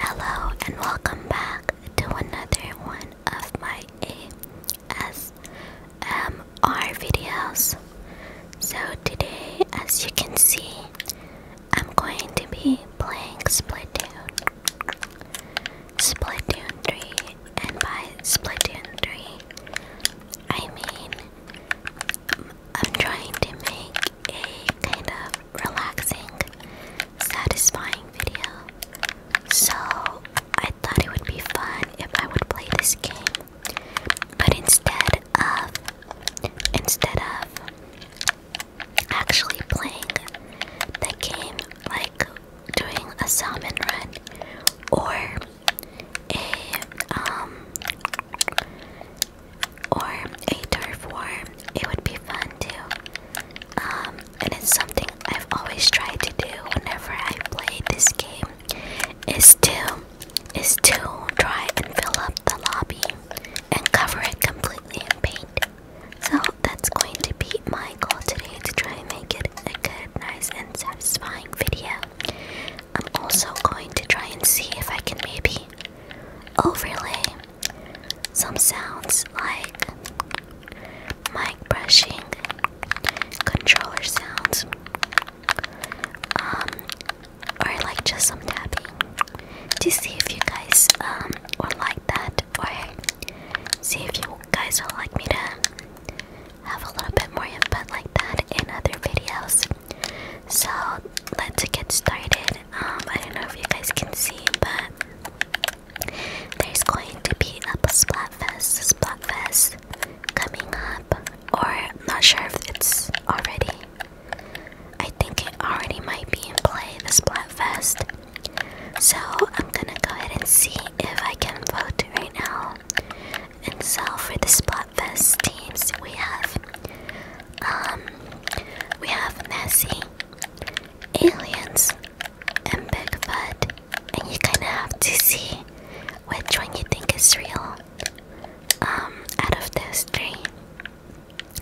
Hello and welcome back to another one of my ASMR videos. So, today, as you can see, I'm going to be playing Splatoon. Splatoon 3, and by Splatoon 3, I mean I'm trying to make a kind of relaxing, satisfying video. So I thought it would be fun if I would play this game. But instead of instead of actually playing the game like doing a salmon run or a um or a turf war. It would be fun too. Um, and it's something I've always tried to do whenever I play this game is to is to try and fill up the lobby and cover it completely in paint. So that's going to be my goal today to try and make it a good, nice, and satisfying video. I'm also going to try and see if I can maybe overlay some sounds like mic brushing, controller sounds, um, or like just some tapping to see if you guys um would like that, or see if you guys would like me to have a little bit more input like that in other videos. So let's get started. Um, I don't know if you guys can see, but there's going to be a Splat Fest coming up, or not sure if it's already. I think it already might be in play, the Fest. So I'm gonna go ahead and see if I can vote right now. And so for the Splat Fest teams, we have um, we have Nessie, Aliens, and Bigfoot, and you kind of have to see which one you think is real um, out of those three.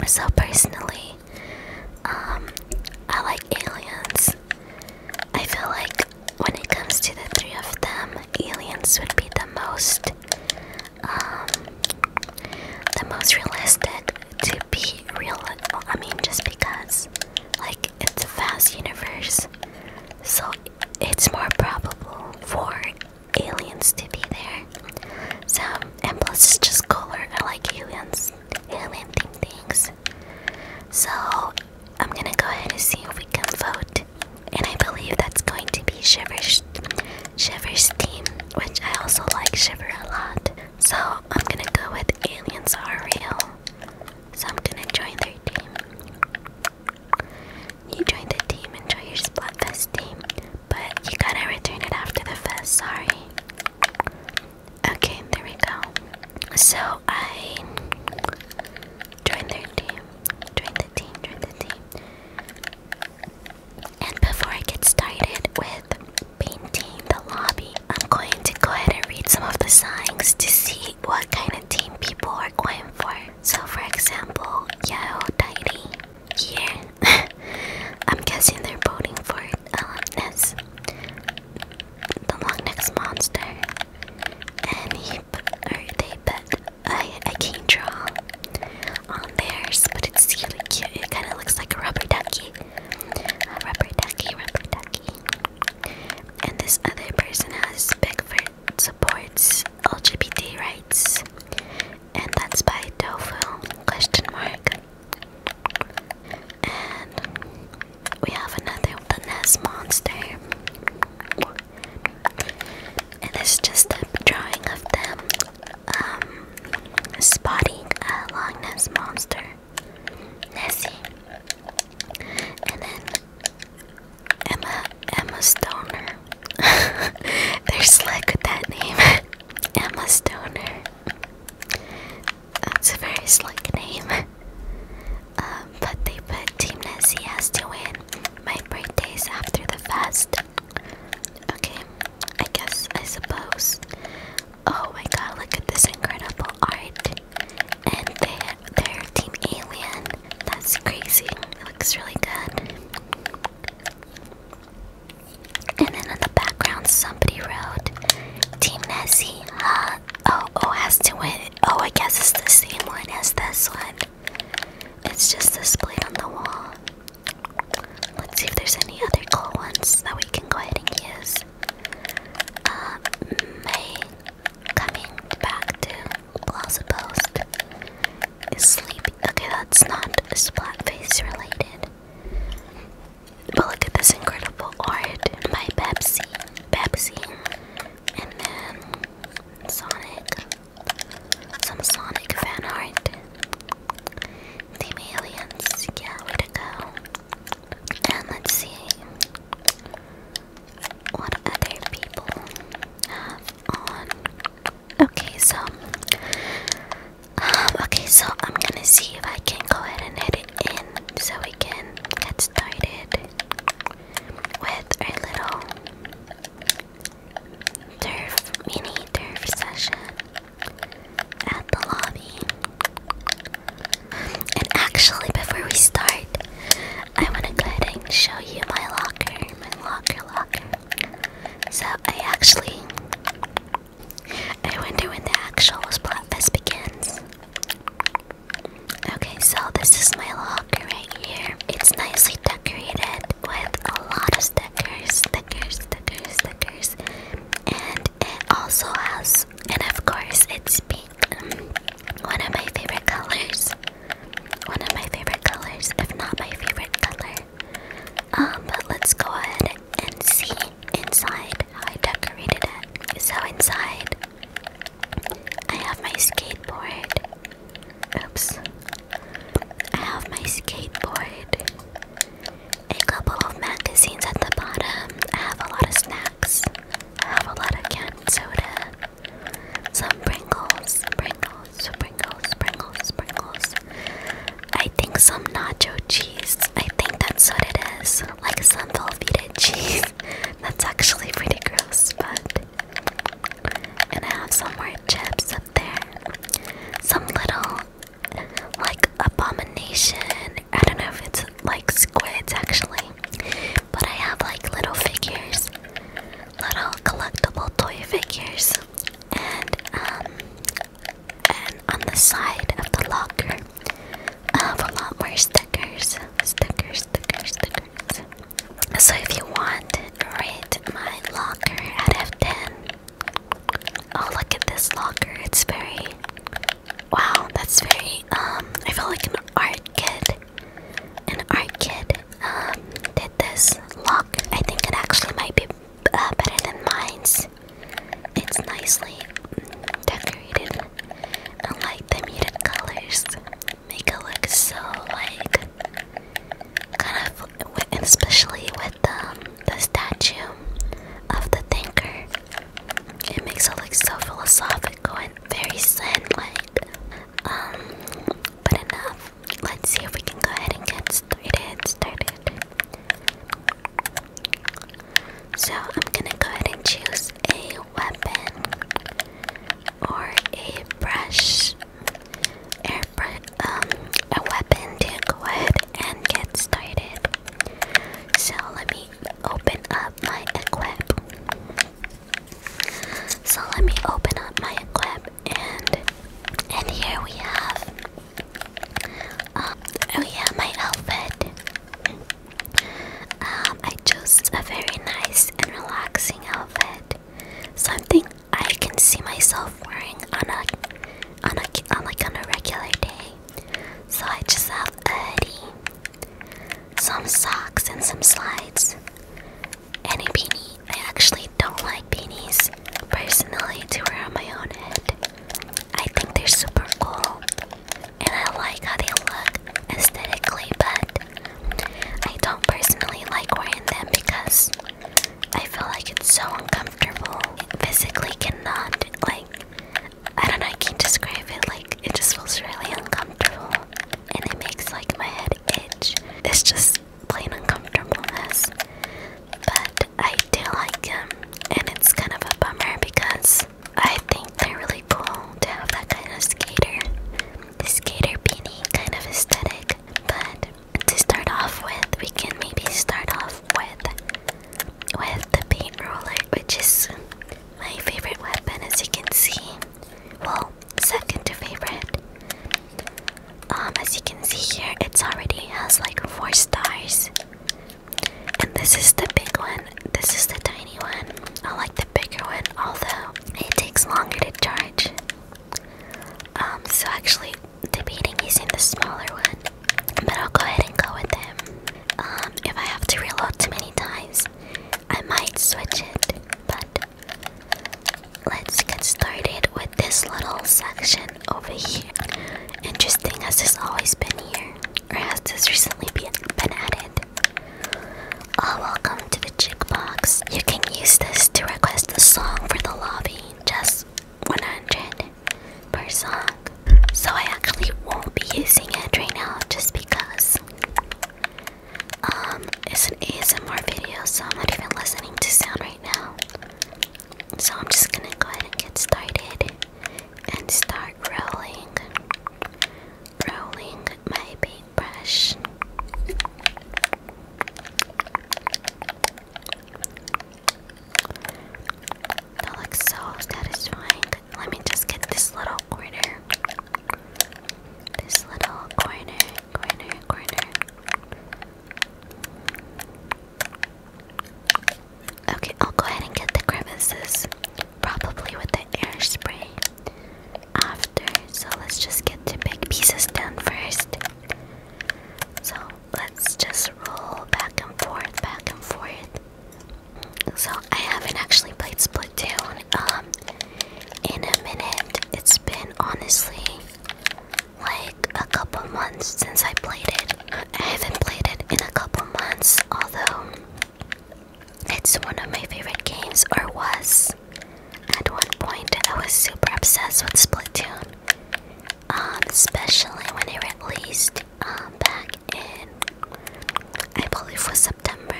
So personally, um, I like Aliens. I feel like when it comes to the three of them, Aliens would be the most um, the most realistic to be real. I mean, just because, like, it's a vast universe, so it's more probable for aliens to be there. So, and plus, it's just cooler. I like aliens, alien things. So, I'm gonna go ahead and see if we can vote. And I believe that's going to be Shiver Shiver's team, which I also like Shiver a lot. So I'm gonna go with Aliens Are Real. So I'm gonna join their team. You join the team and join your Splatfest team, but you gotta return it after the fest, sorry. Okay, there we go. So I join their team. Join the team, join the team. And before I get started with painting the lobby, I'm going to go ahead and read some of the signs to see what kind of team people are going for. So, for example, Yao Tidy here. I'm guessing they're voting for Alumnus, the long next monster, and he or they bet I can't draw on theirs, but it's really cute. It kind of looks like a rubber ducky. rubber ducky, rubber ducky. And this other person has Beckford supports LGBT rights. And that's by Tofu question mark. And we have another the Nest Monster. And it's just a drawing of them um, spotting a long nosed monster, Nessie, and then Emma Emma Stoner. They're slick with that name, Emma Stoner. That's a very slick name. Um, but they put Team Nessie has to win. My birthday's after the fest. Okay, I guess, I suppose. Oh my god, look at this incredible art. And they're, they're Team Alien. That's crazy. It looks really good. And then in the background, somebody wrote Team Nessie. Huh? Oh, oh, has to win. Oh, I guess it's the same one as this one. It's just displayed on the wall. Let's see if there's any other cool ones that we can go ahead and use. Uh, coming back to Plaza is sleepy. Okay, that's not splat related. look at this incredible art by Pepsi, Pepsi, and then Sonic. Some Sonic fan art. Team Aliens, yeah, way to go. And let's see what other people have on. Okay, so um, okay, so I'm gonna see if I can go ahead and edit in so we can get started with our little Durf mini turf session at the lobby. And actually, before we start, I want to go ahead and show you my locker, my locker, locker. So I actually, I wonder when the actual Splatfest begins. Okay, so this is my locker right here. It's nicely decorated with a lot of stickers, stickers, stickers, stickers, and it also has, and of course, it's pink. one of my favorite colors. One of my favorite colors, if not my favorite color. Um, but let's go ahead and see inside how I decorated it. So inside, I have my skateboard. Oops, I have my skateboard, a couple of magazines at the bottom. I have a lot of snacks. I have a lot of canned soda, some Pringles, Pringles, Pringles, Pringles, Pringles. I think some nacho cheese. I think that's what it is. Like some velveted cheese. That's actually pretty gross, but. And I have some more chips up there. Some little, like, abomination. I don't know if it's like squids actually, but I have like little figures, little collectible toy figures. And, um, and on the side of the locker, I have a lot more stickers. Stickers, stickers, stickers. So if you want, rate my locker out of 10. Oh, look at this locker. It's very. Wow, that's very. Um, I feel like an art kid. An art kid um, did this lock. I think it actually might be uh, better than mine's. It's nicely decorated and like the muted colors make it look so like kind of, especially with um, the statue of the thinker. It makes it look so philosophical and very zen-like. Um, but enough. Let's see if we can go ahead and get started. Started. So I'm gonna go ahead and choose a weapon or a brush. Um, a weapon to go ahead and get started. So let me open up my equip. So let me open up my equip and and here we have um, oh yeah my outfit. Um, I chose a very nice and relaxing outfit. Something I can see myself wearing on a on a on like on a regular day. So I just have a hoodie, some socks, and some slides, Any a beanie. I actually don't like beanies personally to wear on my own head. I think they're super cool, and I like how they look aesthetically, but I don't personally like wearing them because I feel like it's so uncomfortable. It physically cannot, like, I don't know, I can't describe it. Like, it just feels really uncomfortable. And it makes, like, my head itch. It's just plain uncomfortableness. But I do like them. And it's kind of a bummer because I think they're really cool to have that kind of skater, the skater beanie kind of aesthetic. But to start off with, we can maybe start off with with the paint roller, which is my favorite weapon, as you can see. Well, second to favorite. Um, as you can see here, it's already has like four stars. And this is the big one. This is the tiny one. I like the bigger one, although it takes longer to charge. Um, so actually, debating in the smaller one, but I'll go ahead and go with him. Um, if I have to reload too many times, I might switch it, but let's get started with this little section over here. Interesting, as this always been here? Or has this recently been, been added? Oh, welcome to the box. You can use this to request a song for the lobby just 100 per song. So I actually won't be using it right now just because um it's an ASMR video so I'm not even listening to sound right now. So I'm just gonna go ahead and get started and start rolling rolling my paintbrush. That looks so satisfying. Let me just get this little corner. This little corner, corner, corner. Okay, I'll go ahead and get the crevices. Probably with the air spray after. So let's just get the big pieces done first. So let's just roll back and forth, back and forth. So I haven't actually played Split um, in a minute. It's been honestly like a couple months since I played it. I haven't played it in a couple months, although it's one of my favorite games, or was. At one point, I was super obsessed with Splatoon, um, especially when it released um, back in, I believe, was September.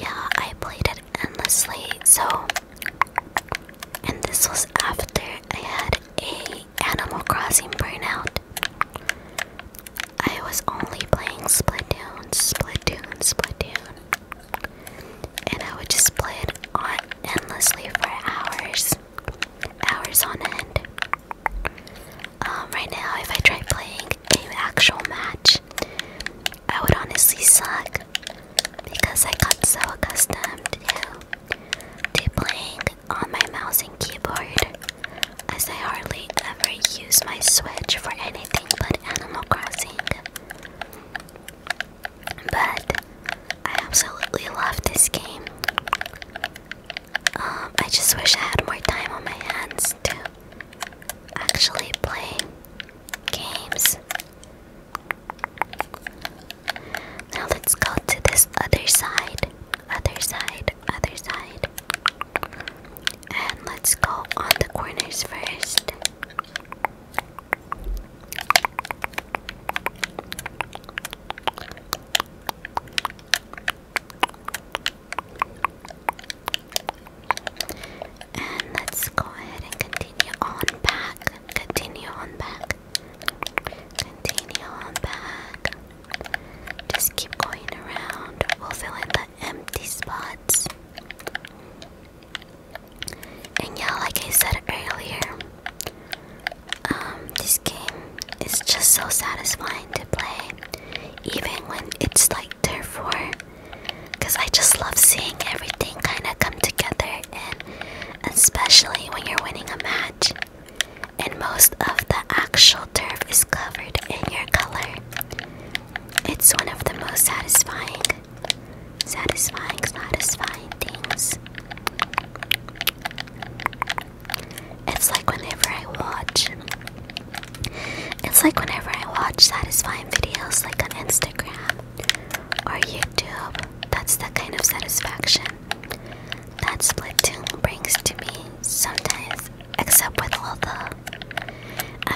Yeah, I played it endlessly. So, and this was after I had a Animal Crossing burnout. I was only playing Splatoon, Splatoon, Splatoon and I would just play it on endlessly for hours, hours on end. Um, right now, if I try playing an actual match, I would honestly suck because I got so accustomed to, to playing on my mouse and keyboard, as I hardly ever use my Switch for anything but Animal Crossing. But I absolutely love this game. Um, I just wish I had more time on my hands to actually play games. Now let's go to this other side, other side, other side. And let's go on the corners first. And let's go ahead and continue on back. Continue on back. Continue on back. Just keep going around. We'll fill in the empty spots. And yeah, like I said earlier, um, this game is just so satisfying to play, even when it's like turf for. Because I just love seeing everything kind of come together, and especially when you're winning a match and most of the actual turf is covered in your color. It's one of the most satisfying satisfying, satisfying things. It's like whenever I watch, it's like whenever I watch satisfying videos like on Instagram or YouTube, that's the kind of satisfaction that Splatoon brings to me sometimes, except with all the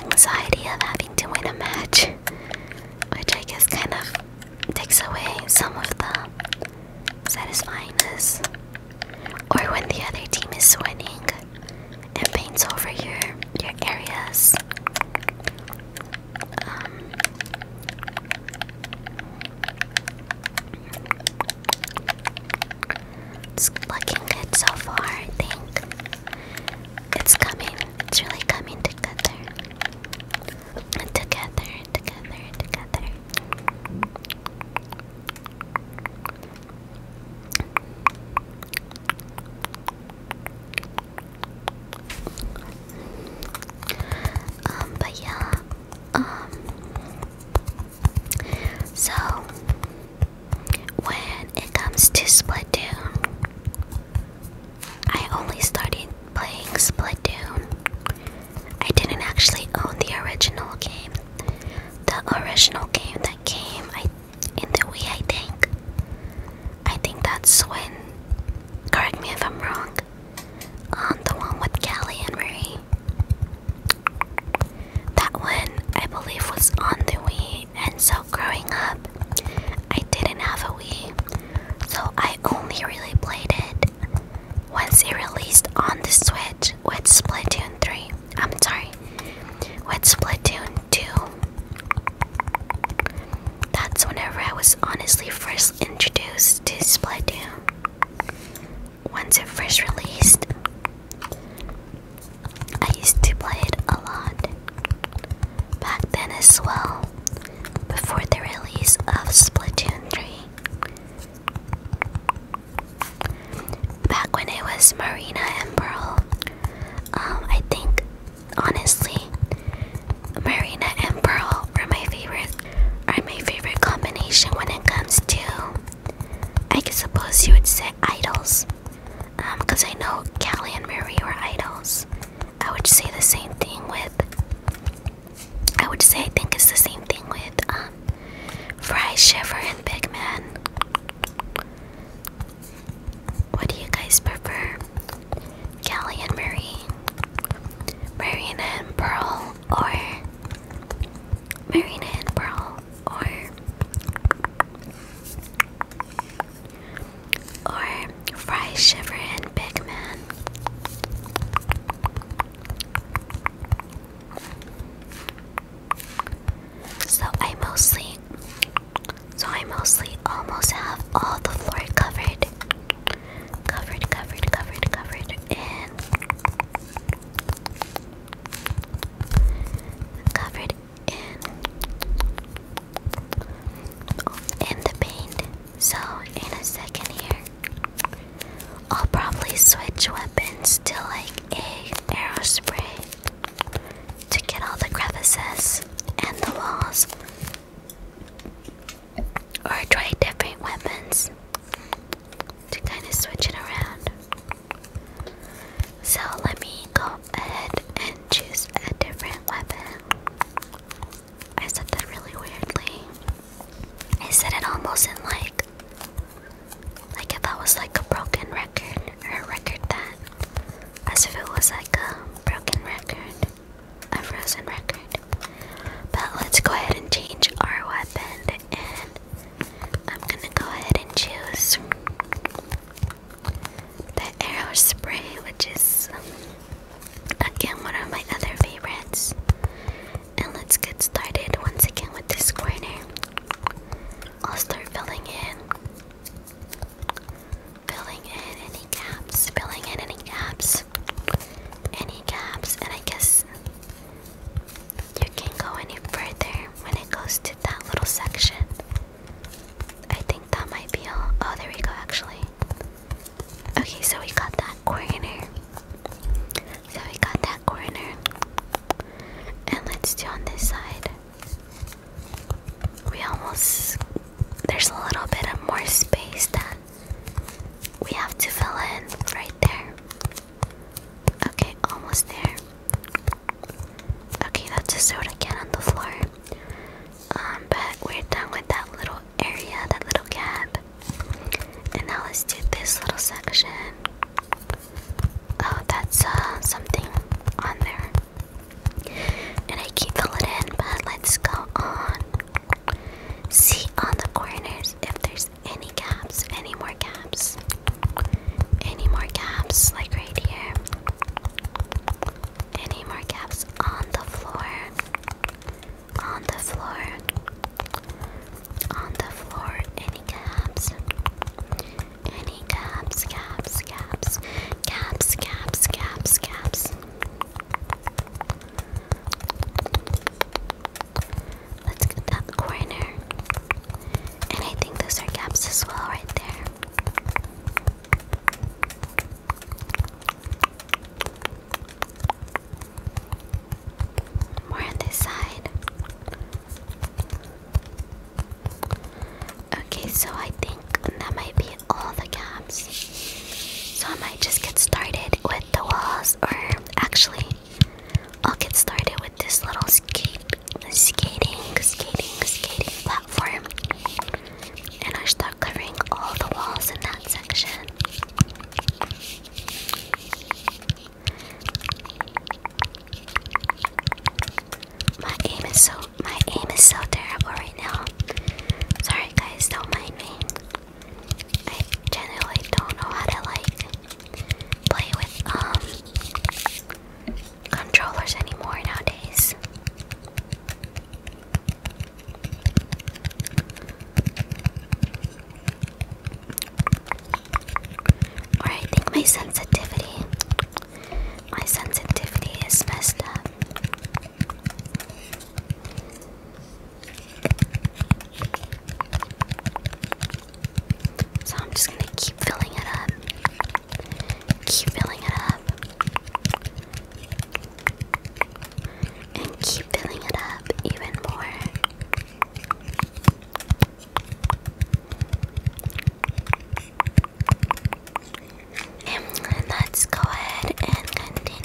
anxiety of having to win a match which I guess kind of takes away some of the satisfyingness. Or when the other team is winning and paints over your your areas. it's um, looking good so far, I think. It's coming. It's really coming together. Together, together, together. Um, but yeah, um, so when it comes to Splatoon, I only started playing Splatoon. I didn't actually own the original game. The original game that came I, in the Wii, I think. I think that's when, correct me if I'm wrong, um, the one with Kelly and Marie. That one, I believe, was on the Wii and so growing up, I didn't have a Wii, so I only really played it once it released on the Switch with Splatoon 3. I'm sorry, with Splatoon 2. That's whenever I was honestly first introduced to Splatoon. Once it first released, I used to play it a lot back then as well, before the release of Splatoon 3. Back when it was Marina and Pearl, um, I think honestly, Marina and Pearl are my favorite are my favorite combination when it comes to I suppose you would say idols. Um, because I know Callie and Mary were idols. I would say the same thing with. I would say I think it's the same thing with um, Fry, Shiver, and Big Man. What do you guys prefer? Callie and Mary, Marina and Pearl, or Marina and Pearl, or or Fry, Shiver, and Big Man. So I mostly, so I mostly almost have all the floor covered, covered, covered, covered, covered, and covered and the paint. So in a second here, I'll probably switch weapons to like a arrow spray to get all the crevices and the walls, or try different weapons to kind of switch it around. So let me go ahead and choose a different weapon. I said that really weirdly. I said it almost in like like if that was like a broken record or a record that as if it was like a broken record, a frozen record. But let's go ahead and change our weapon and I'm gonna go ahead and choose the arrow spray, which is again one of my other favorites. And let's get started once again with this corner. I'll start filling in, filling in any gaps, filling in any gaps, any gaps, and I guess you can not go any further when it goes to that little section. I think that might be all. Oh, there we go, actually. Okay, so we got that corner. So we got that corner. And let's do on this side. We almost. There's a little bit of more space that we have to fill in right there. Okay, almost there. Okay, that's a soda can on the floor. Um, but we're done with that little area, that little gap. And now let's do this little section. Oh, that's uh, something on there. And I can fill it in, but let's go on. See on the corners if there's any gaps, any more gaps, any more gaps, like right here. Any more caps on the floor? On the floor. On the floor. Any caps? Any caps, caps, caps, caps, caps, caps, caps. Let's get that corner. And I think those are caps as well, right there. More on this side. Okay, so I think that might be all the gaps. So I might just get started with the walls, or actually, I'll get started with this little skate skating, skating, skating platform. And I start covering all the walls in that section. My aim is so my aim is so terrible right now. Sorry guys, don't mind me. I generally don't know how to like play with um controllers anymore nowadays. Or I think my sensitivity, my sensitivity is messed up. So I'm just gonna keep filling it up. Keep filling it up. And keep filling it up even more. And let's go ahead and continue.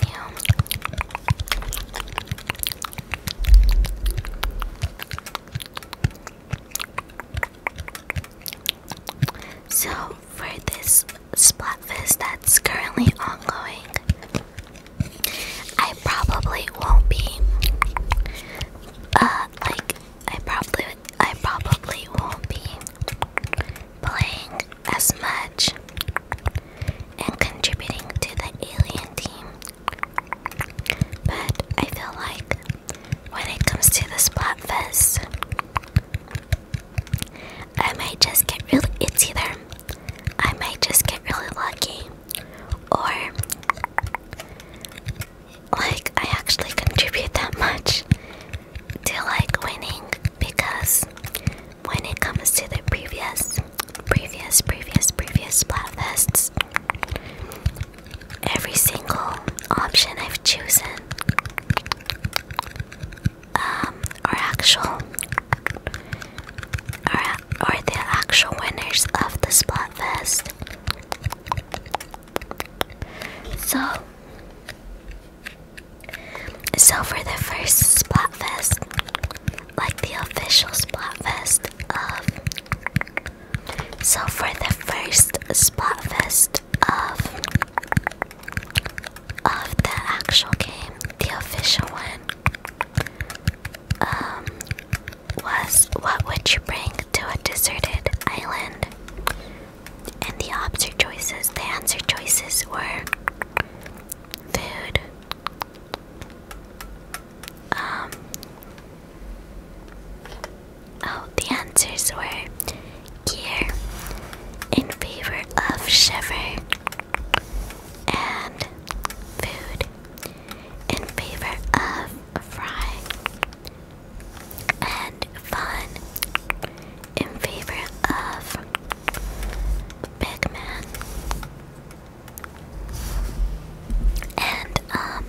So for this Splatfest that's currently ongoing, I probably won't be uh like I probably I probably won't be playing as much and contributing to the alien team. But I feel like when it comes to the Splatfest. I might just get really it's either I might just get really lucky or like I actually contribute that much to like winning because when it comes to the previous previous previous previous splatfests every single option I've chosen um, are actual, are, are the actual winners of the Splatfest. So, so for the first Splatfest, like the official Splatfest of so for the first spot of of the actual game, the official one, um, was what would you bring to a deserted island? And the answer choices, the answer choices were food, um, Oh, the answers were gear in favor of shiver and food in favor of fry and fun in favor of big man. And um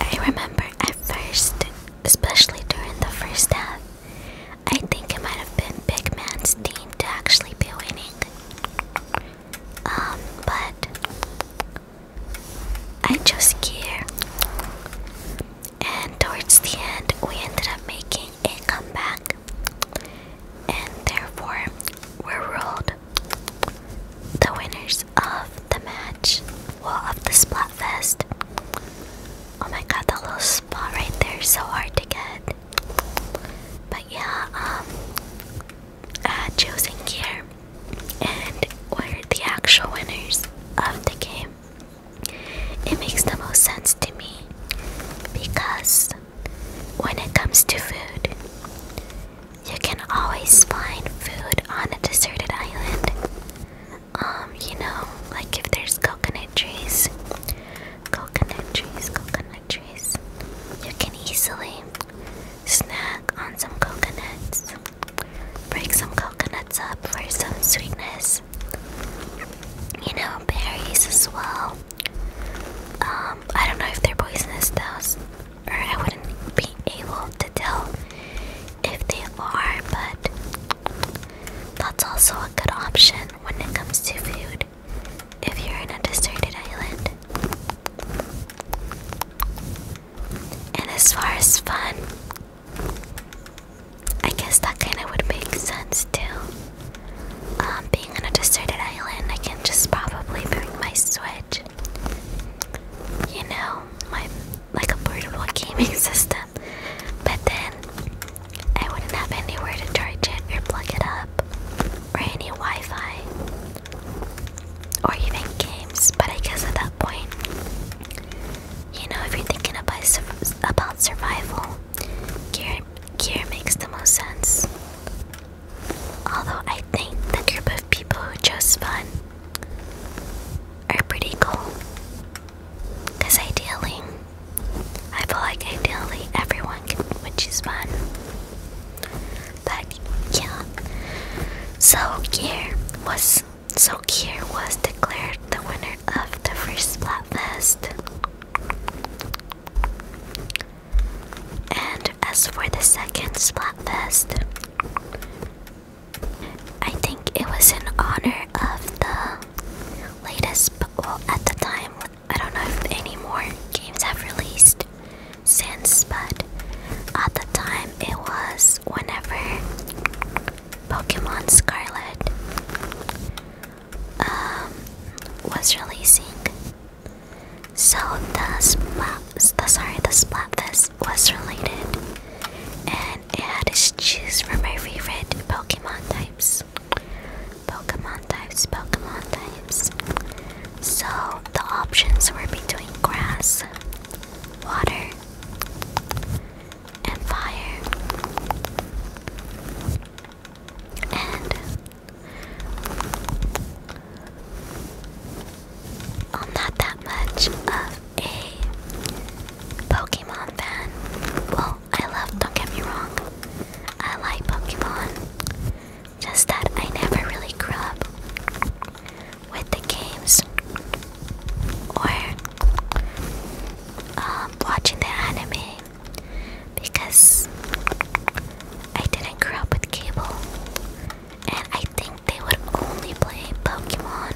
I remember at first, especially during the first half, I think it might have been Big Man's team to actually be winning. Um, but I chose gear. And towards the end, we ended up making a comeback. And therefore, we're ruled. The winners of the match, well, of the Splatfest. Oh my god, that little spot right there, so hard to get. But yeah, um, uh, choosing gear and were the actual winners of the game. It makes the most sense to me because when it comes to food, you can always find food on a deserted island. Um, you know, like if there's coconut trees, coconut trees, coconut trees, you can easily snack on some coconuts, break some coconuts up for some sweetness. You know, berries as well. Um, I don't know if they're poisonous though or I wouldn't be able to tell if they are, but that's also a good option when it comes to food if you're in a deserted island. And as far as fun, I guess that kind of would make sense too. Um, being on a deserted island, I can just probably bring my Switch you know, my like a portable gaming system. But then I wouldn't have anywhere to charge it or plug it up, or any Wi-Fi, or even games. But I guess at that point, you know, if you're thinking about about survival, gear gear makes the most sense. Although I think the group of people who chose fun are pretty cool. Because ideally, I feel like ideally everyone can, choose fun. But yeah. So Kier was so here was declared the winner of the first Splatfest. And as for the second Splatfest, I think it was in honor of the latest, but well, at the time, I don't know if any more games have released since, but at the time, it was whenever Pokemon Scarlet um, was releasing. So the splat, sorry, the splatfest was related, and it had us choose from my favorite Pokemon types, Pokemon types, Pokemon types. So the options were between grass, water, and fire, and I'm not that much of a Pokemon fan. Well, I love, don't get me wrong, I like Pokemon. Just that I never really grew up with the games or um, watching the anime because I didn't grow up with cable. And I think they would only play Pokemon,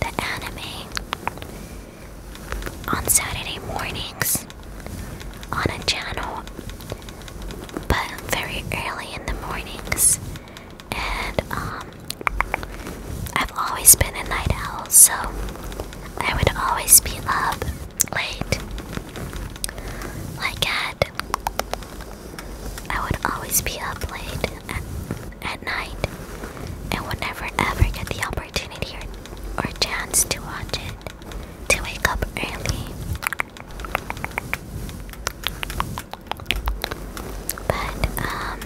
the anime, on Saturday mornings on a channel, but very early in the mornings. And um, I've always been a night owl, so I would always be up late, like at I would always be up late at, at night and would never ever get the opportunity or, or chance to watch it, to wake up early. But, um,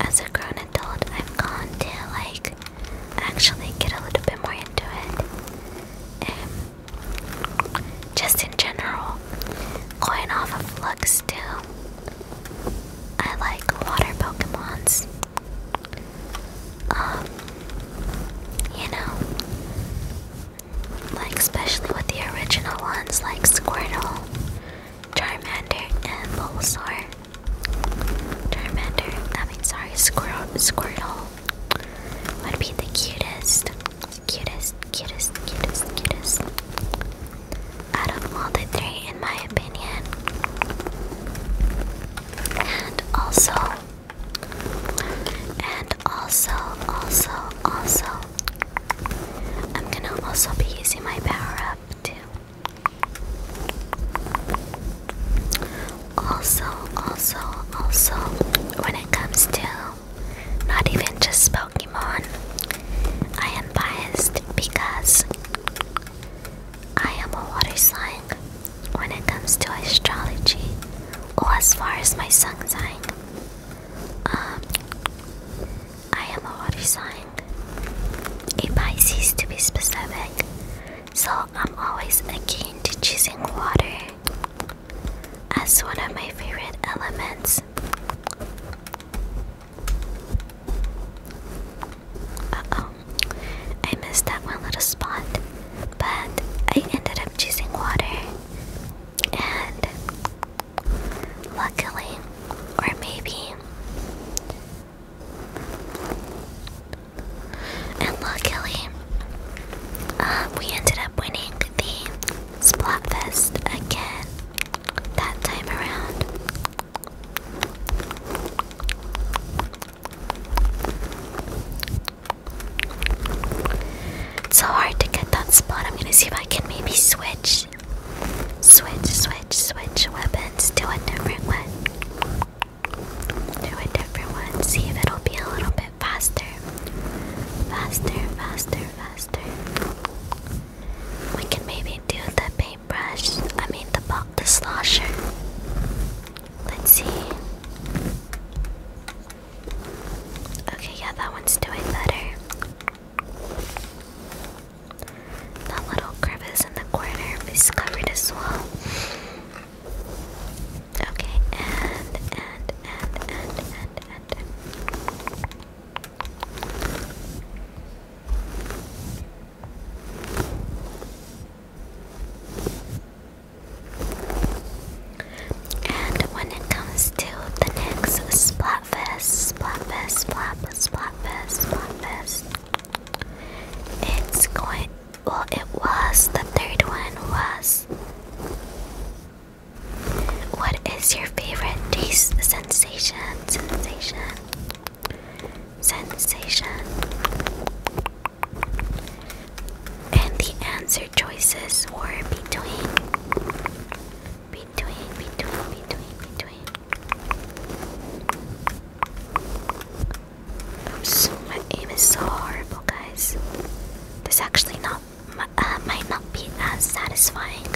as a grown adult, I've gone to like actually get a little bit more into it. Just in general, going off of looks too. I like water Pokemons. Um, you know, like especially with the original ones like Squirtle, Charmander, and Bulbasaur. Charmander, I mean, sorry, Squirtle, would be the cutest, cutest, cutest, cutest, cutest out of all the three, in my opinion. And also, and also, also, also, I'm gonna also be using my power up too. Also, also, also, when it comes to not even just Pokemon, I am biased because I am a water sign when it comes to astrology, or as far as my sun sign. Um, I am a water sign, a Pisces to be specific, so I'm always again to choosing water as one of my favorite elements. Uh oh, I missed that one little spot, but I ended up choosing water, and luckily, or maybe. And luckily, um, we ended up winning the Splatfest again that time around. It's so hard to get that spot. I'm gonna see if I can maybe switch, switch, switch, switch weapons to a different one do a different one, see if it'll be a little bit faster. Faster, faster, faster. We can maybe do the paintbrush, I mean the the slosher. Let's see. Okay, yeah, that one's doing better. That little crevice in the corner is covered as well. Okay, and, and, and, and, and, and. And when it comes to the next Splatfest, Splatfest, Splat, Splatfest, Splatfest, it's going well it was the third one was what is your favorite taste sensation sensation sensation and the answer choices were between between between between between I'm so my aim is so horrible, guys. This actually not uh, might not be as satisfying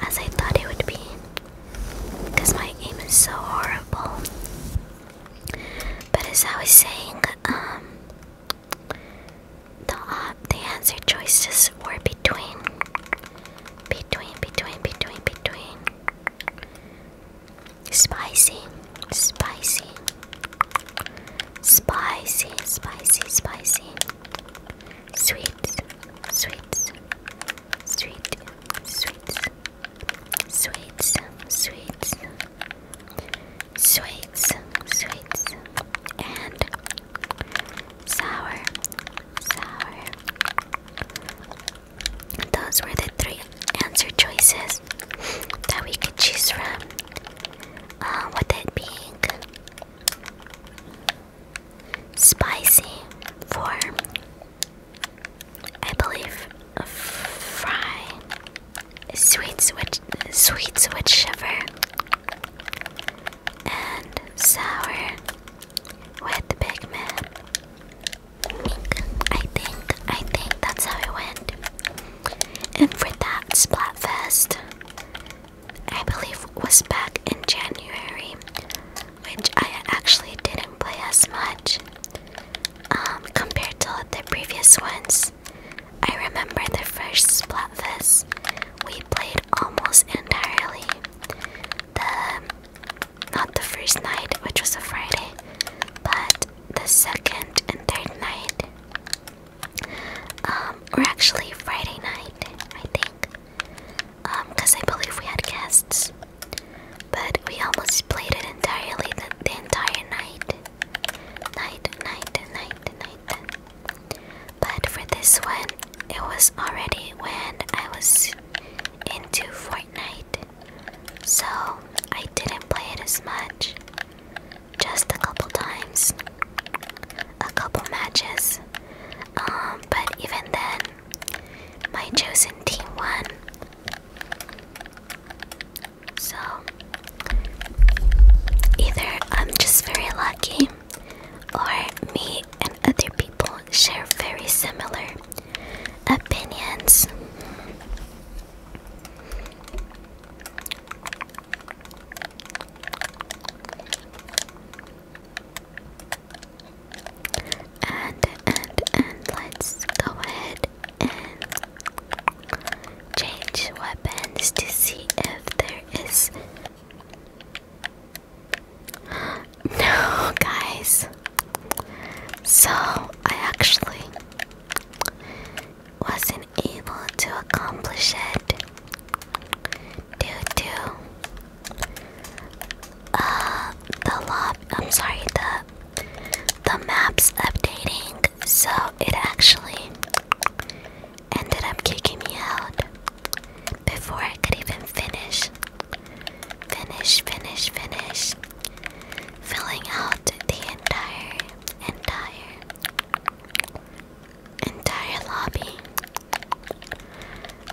as I thought it would be, because my aim is so horrible. But as I was saying, um, the uh, the answer choices were between, between, between, between, between. Spicy, spicy, spicy, spicy, spicy. Sweet, sweet, sweet, sweet, sweet, sweet, sweet, sweet, and sour, sour. Those were the three answer choices that we could choose from. Uh, with it being spicy for, I believe, fry, sweet switch, sweet switch shiver, and sour with pigment. I think, I think that's how it went. And for that Splatfest, I believe was back in January, which I actually didn't play as much um, compared to the previous ones. I remember the first Splatfest we played almost entirely the not the first night, which was a Friday, but the second and third night. Um, or actually Friday night, I think. because um, I believe we had guests. But we almost played it entirely the, the entire night. Night, night, night, night. But for this one, it was already when I was into Fortnite. So I didn't play it as much. Just a couple times. A couple matches. Um, but even then, my chosen team won. So, either I'm just very lucky, or me and other people share very similar opinions. And and and let's go ahead and change weapons to see if there is no guys. So I actually wasn't able to accomplish it due to uh, the lot I'm sorry the the maps updating so it actually ended up kicking me out before I could even finish finish finish finish filling out the entire, entire, entire lobby,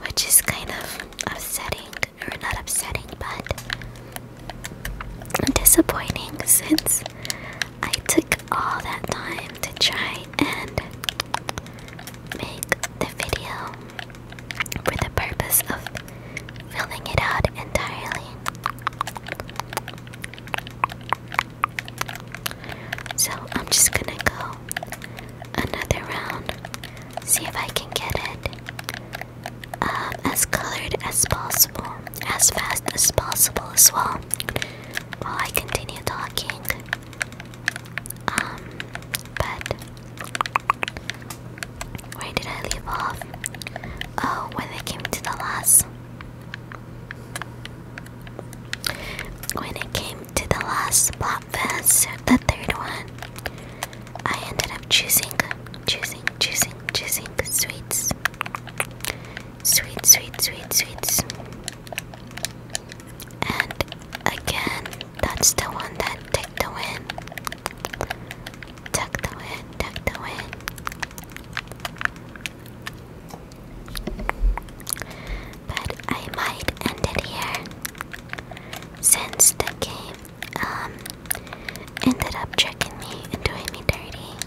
which is kind of upsetting, or not upsetting, but disappointing since I took all that time to try and make the video for the purpose of filling it out entirely. So I'm just gonna go another round, see if I can get it um, as colored as possible, as fast as possible as well. While I continue talking, um, but where did I leave off? Oh, when I came to the last. When it came to the last plot fest, the third one, I ended up choosing, choosing, choosing, choosing sweets. Sweet, sweet, sweet, sweets. And again, that's the one that took the win. Tuck the win, tuck the win. But I might end it here since the game um, ended up tricking me and doing me dirty.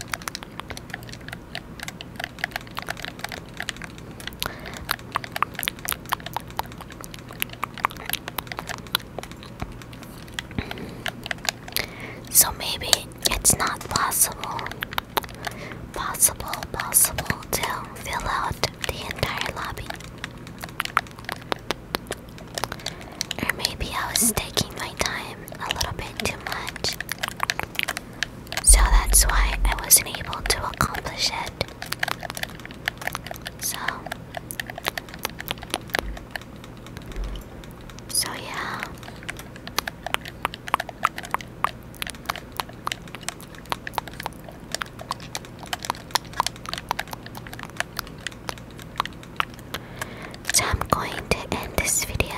So maybe it's not possible, possible, possible to fill out the entire lobby. Or maybe I was taking my time a little bit too much. So that's why I wasn't able to accomplish it. So, so, yeah. So, I'm going to end this video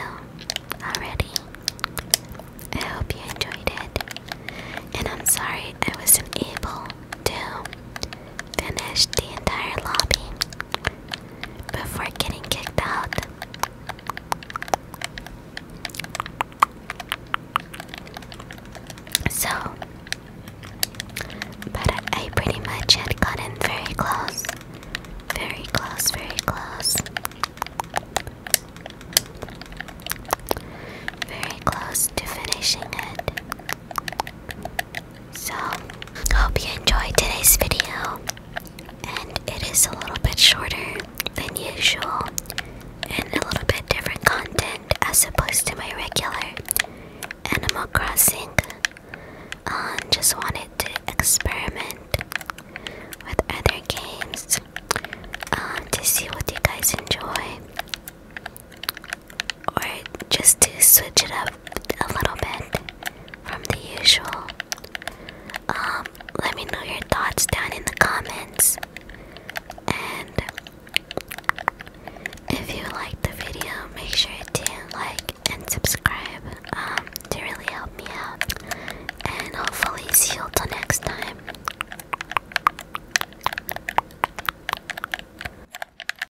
already. I hope you enjoyed it. And I'm sorry I wasn't able to finish the entire lobby before getting kicked out. So, but I pretty much had gotten very close, very close, very close, very close to finishing it. So, hope you enjoyed today's video. And it is a little bit shorter than usual and a little bit different content as opposed to my regular Animal Crossing. Um, just wanted to experiment with other games uh, to see what you guys enjoy or just to switch it up a little bit from the usual. Um, let me know your thoughts down in the comments. And if you liked the video, make sure to like and subscribe um, to really help me out. And hopefully, see you till next time.